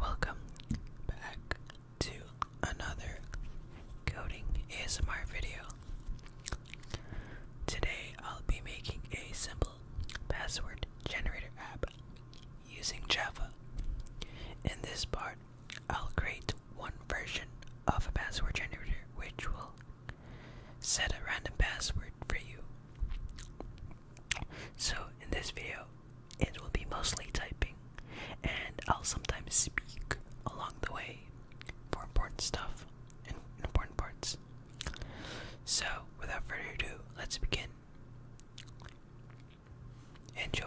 Welcome back to another coding ASMR video. Today I'll be making a simple password generator app using Java. In this part, I'll create one version of a password generator which will set a random password for you. So in this video, it will be mostly typing, and I'll sometimes speak along the way for important stuff and important parts. So without further ado, let's begin. Enjoy.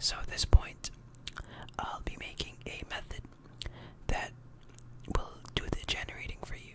So at this point, I'll be making a method that will do the generating for you.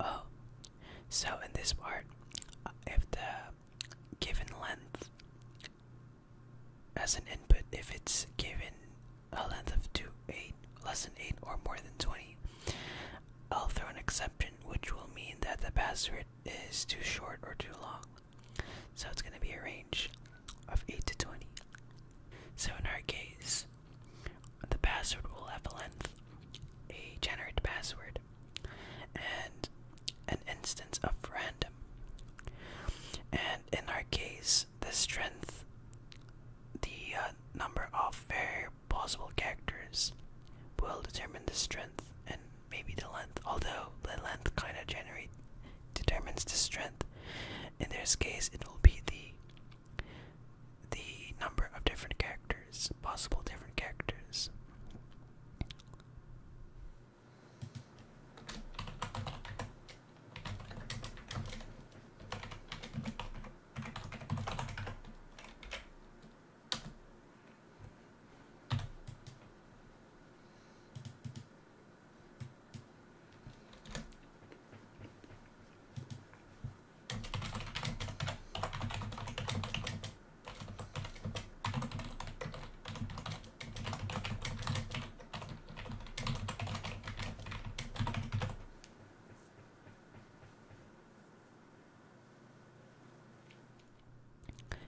Oh, so in this part, uh, if the given length as an input, if it's given a length of 2, 8, less than 8, or more than 20, I'll throw an exception, which will mean that the password is too short or too long. So it's going to be a range of 8 to 20. So in our case, the password will have a length, a generate password, and an instance of random. And in our case, the strength, the uh, number of very possible characters, will determine the strength and maybe the length. Although the length kind of generate determines the strength. In this case, it will be the the number of different characters, possible different characters.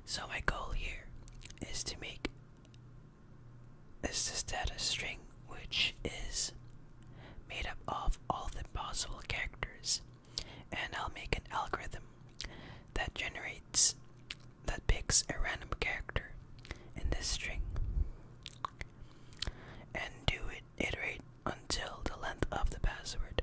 So, my goal here is to make is this data string which is made up of all the possible characters and I'll make an algorithm that generates that picks a random character in this string and do it iterate until the length of the password.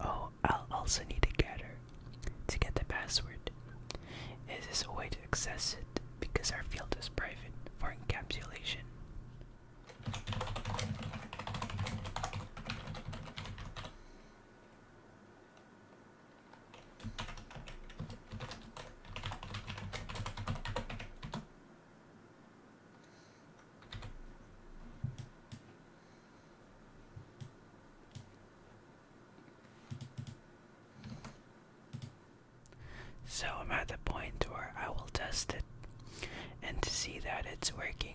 Oh, I'll also need a getter to get the password private. It is a way to access it because our field is private for encapsulation. So I'm at the point where I will test it and to see that it's working.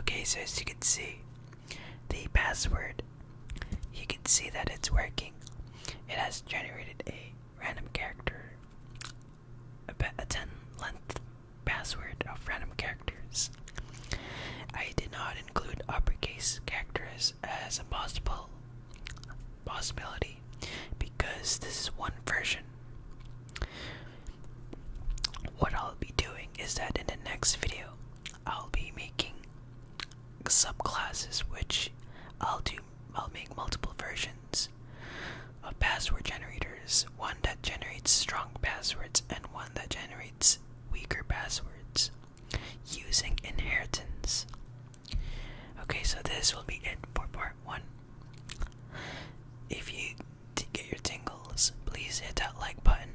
Okay, so as you can see, the password, you can see that it's working. It has generated a random character, a, 10 length password of random characters. I did not include uppercase characters as a possible possibility because this is one version. What I'll be doing is that in the next video, I'll be making subclasses which I'll do I'll make multiple versions of password generators, one that generates strong passwords and one that generates weaker passwords using inheritance. Okay, so this will be it for part 1 if you get your tingles, please hit that like button.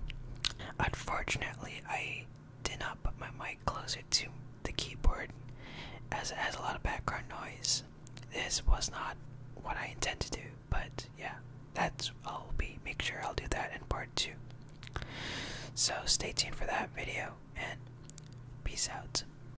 Unfortunately, I did not put my mic closer to the keyboard as it has a lot of background noise. This was not what I intended to do, but yeah, that's I'll be make sure I'll do that in part two. So stay tuned for that video and peace out.